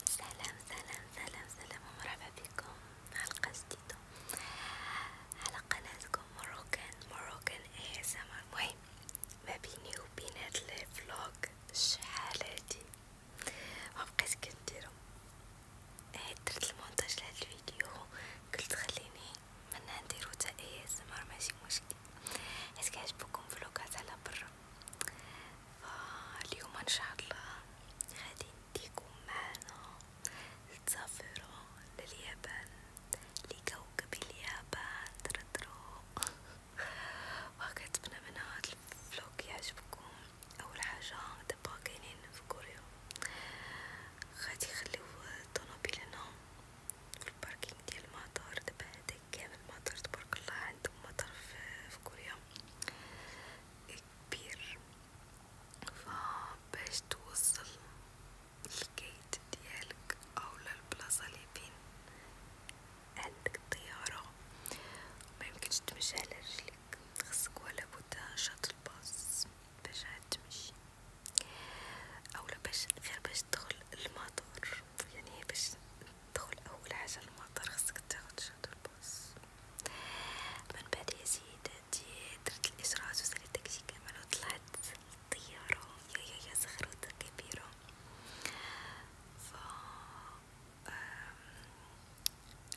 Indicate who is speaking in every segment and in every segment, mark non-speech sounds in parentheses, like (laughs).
Speaker 1: سلام سلام سلام سلام ومرحبا بكم حلقة جديدة على قناتكم مروكان مروكان اي سما المهم ما بيني وبين هاد الفلوغ شحال هادي مبقيت كنديرو عيد درت المونتاج لهاد الفيديو قلت خليني من نديرو تا اي سما ماشي مشكل حيت كيعجبكم فلوقات على برا فاليوم ان شاء الله غادي نديكم معنا نسافروا لليابان لكوكب اليابان تردرو (laughs) وكنتمنى من هاد الفلوق يعجبكم اول حاجه دابا كاينين في كوريا غادي يخليو الطوموبيل هنا في الباركينغ ديال المطار دابا عندك كامل مطر تبارك الله عندهم مطر في كوريا كبير فباش توصل للكيت ديالك او للبلاصة اللي بين عندك الطيارة ميمكنش تمشي على رجليك خصك ولا بودا شاطل باص باش عاد تمشي اولا باش غير باش تدخل المطار يعني باش دخل اول حاجه المطر خصك تاخد شوط البوص من بعد يا سيداتي درت الاشراج وسالت داكشي كامل وطلعت للطياره يا يا يا زغروطه كبيره ف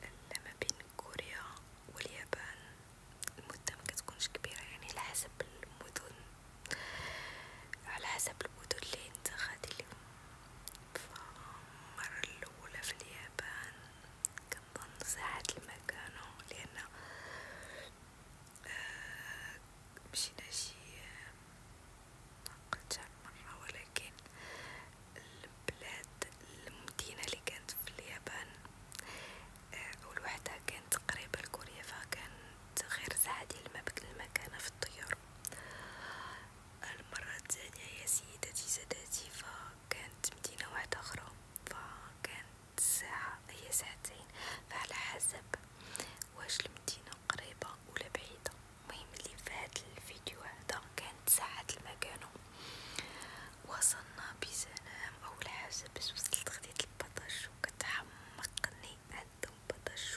Speaker 1: لما بين كوريا واليابان المده مكتكونش كبيره يعني على حسب المدن على حسب المدن اللي انت غادي ليهم فالمرة الأولى في اليابان كنظن ساعة المكانو لأن آه مشينا شي مقلتها مرة ولكن البلاد المدينة اللي كانت في اليابان آه، أول وحدة كانت قريبة لكوريا فكانت غير ساعة ديال المكانة في الطيارة المرة الثانية هي سيدتي سادتي فكانت مدينة واحدة أخرى فكانت ساعة هي ساعتين فعلى حسب واش المدينة قريبة ولا بعيدة المهم اللي فهاد الفيديو هذا كانت ساعة المكانو وصلنا بسلام أول حاجة باش وصلت خديت البطاش وكتحمقني عندهم بطاش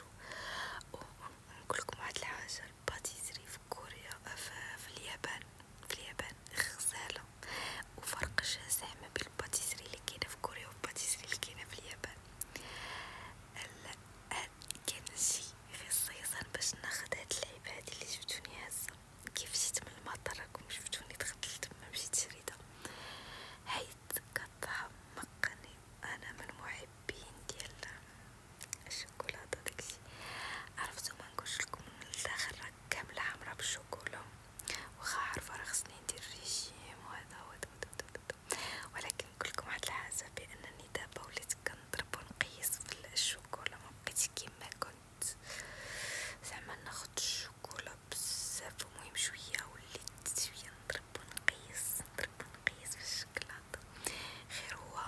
Speaker 1: نقولكم واحد الحاجه الباتيسري في كوريا آه، في اليابان في اليابان غزاله وفرق شاسع ما بين الباتيسري اللي كاينه في كوريا والباتيسري اللي كاينه في اليابان كان شي غير الصيصان باش ناخد هاد اللعيب هادي اللي شفتوني هازه كيف جيت من المطر راكم شفتوني دخلت تما مشيت شريده حيت كطعم مقني انا من محبين ديال الشوكولاته داكشي عرفتو ما نقولش لكم لداخل راه كامله حمراء بالشوكولا واخا عارفه راه خصني ندير ريجيم وهذا ولكن نقول لكم واحد الحاجه بانني دابا وليت كنضرب ونقيس في الشوكولا ما بقيتش كيما كنت زعما ناخذ الشوكولا بزاف المهم شويه وليت شويه نضرب ونقيس نضرب نقيس في الشكلاط غير هو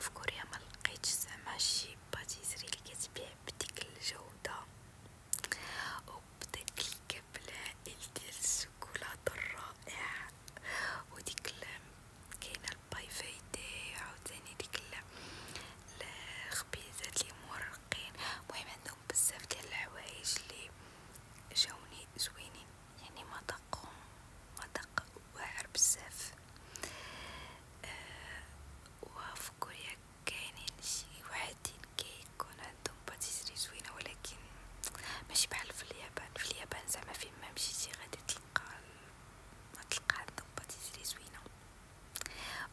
Speaker 1: في كوريا ما لقيتش زعما شي باتيسري اللي كتبيع بديك الجوده وبداك الكبلاء ديال الشوكولاته الرائع وديك كاينه البايفيدي عاوتاني ديك الخبيزات اللي مورقين المهم عندهم بزاف ديال الحوايج اللي جاوني زوينين يعني ما دقهم ما دق واعر بزاف أه وفي كوريا كاينين شي وحدين كيكون عندهم باتيسري زوينه ولكن ماشي بحال في اليابان في اليابان زعما فين ما مشيتي غادي تلقى ما تلقى عندهم باتيسري زوينه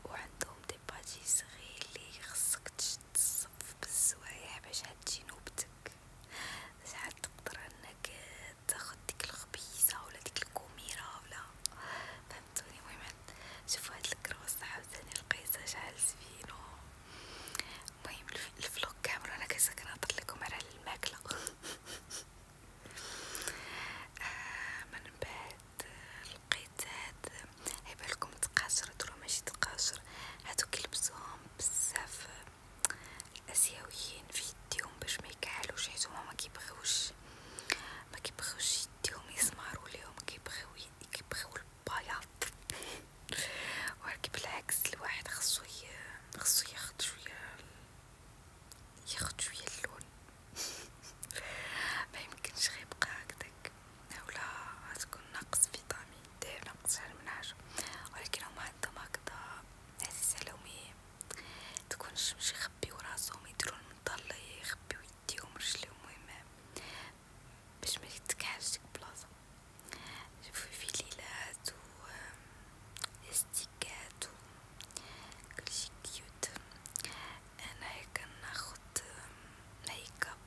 Speaker 1: وعندهم دي باتيسري اللي خصك تصف بالزوايا باش هتجي نوبتك ساعات تقدر انك تاخد ديك الخبيزة ولا ديك الكوميرة ولا فهمتوني المهم شوفوا هاد الكروس عاوتاني لقيتها شحال زوينة المهم الفلوق كامل انا كنت كنهضر لكم على الماكلة (laughs) آه من بعد لقيت هاد عبالكم تقاشر درو ماشي تقاشر هادو كيلبسوهم بزاف الاسيويين في يديهم باش ما يكحلوش حيت هما ما كيبغيوش ما كيبغيوش يديهم يسمارو ليهم كيبغيو كيبغيو البياض (laughs) ولكن بالعكس الواحد خصو خصو ياخد شويه ياخد شويه اللون (laughs) ما يمكنش غيبقى هكداك ولا غتكون ناقص فيتامين د ناقص شحال من حاجة ولكن هما عندهم هكدا عزيز عليهم تكون الشمس يخبيو راسهم يديرو المظلة يخبيو يديهم رجليهم المهم باش ما يتكعش ديك البلاصة شوفو فيليلات و لاستيكات و كلشي كيوت انا هي كناخد ميكاب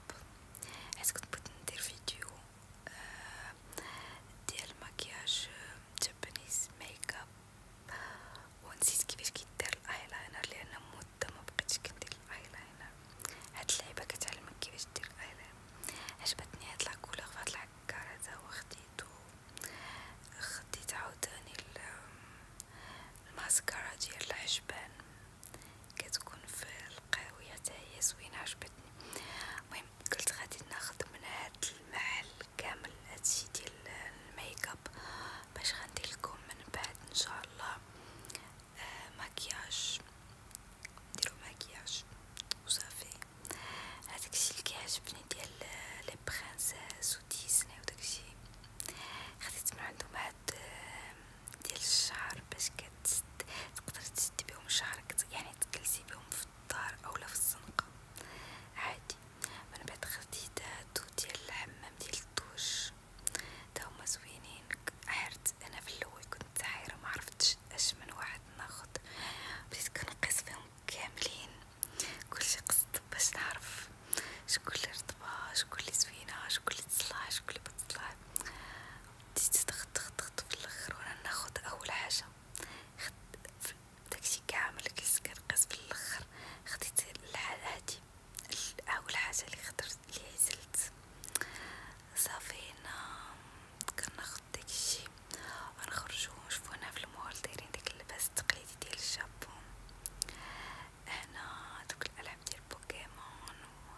Speaker 1: حيت كنت بغيت ندير فيديو آه، ديال مكياج جابانيز ميك اب ونسيت كيفاش كيدير الايلاينر لان مده ما بقيتش كندير الايلاينر هاد اللعبه كتعلمك كيفاش دير الايلاينر عجبتني هاد لاكولور فهاد العكار هذا وخديتو خديت عاوتاني الماسكارا ديال العجبان كتكون في القهوية حتى هي زوينة عجبتني المهم قلت غادي ناخد من هاد المحل كامل هادشي ديال الميك اب باش غندير لكم من بعد ان شاء الله آه مكياج نديرو مكياج وصافي هذاكشي اللي كيعجبني ديال لي برانسيس وديزني وداكشي خديت من عندهم هاد آه، ديال الشعر باش كتست تقدر تسد بهم شعرك يعني تجلسي بهم في الدار اولا في الزنقه عادي من بعد خدي داتو ديال الحمام ديال الدوش تا هما زوينين حرت انا في الاول كنت حيره ما عرفتش اش من واحد ناخد بديت كنقيس فيهم كاملين كلشي قصد باش نعرف شكون اللي رطبة شكون اللي زوينة شكون اللي تصلح شكون اللي بتصلح بديت تخت تخت في الاخر وانا ناخد اول حاجة خد داكشي كامل كنقص في الاخر خديت الحاجة هادي اول حاجة اللي خدرت اللي عزلت صافي كناخد داكشي ونخرجو نشوفو هنا في المول دايرين داك اللباس التقليدي ديال الجابون هنا دوك الألعاب ديال بوكيمون و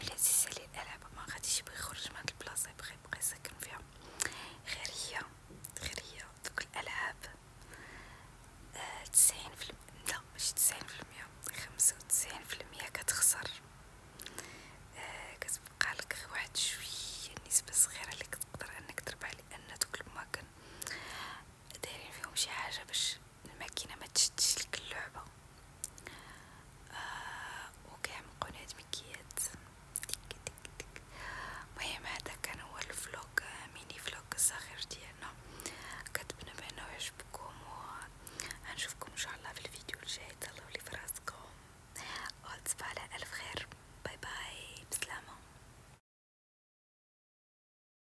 Speaker 1: ملي عزيز عليه الألعاب ما غاديش يبغي يخرج من هاد البلاصة يبغي يبقى ساكن فيها غير هي غير هي دوك الألعاب آه، تسعين في الم... لا ماشي تسعين في المية خمسة وتسعين في المية كتخسر آه كتبقى لك واحد شوية نسبة صغيرة اللي كتقدر انك تربح لان دوك الماكن دايرين فيهم شي حاجه باش الماكينه ما تشدش لك اللعبه آه وكيعمقو مكيات ديك ديك ديك المهم هذا كان هو الفلوق آه، ميني فلوق الصغير ديالنا كنتمنى بانه يعجبكم وغنشوفكم ان شاء الله في الفيديو الجاي تهلاو لي فراسكم وتصبحوا على الف خير باي باي بسلامه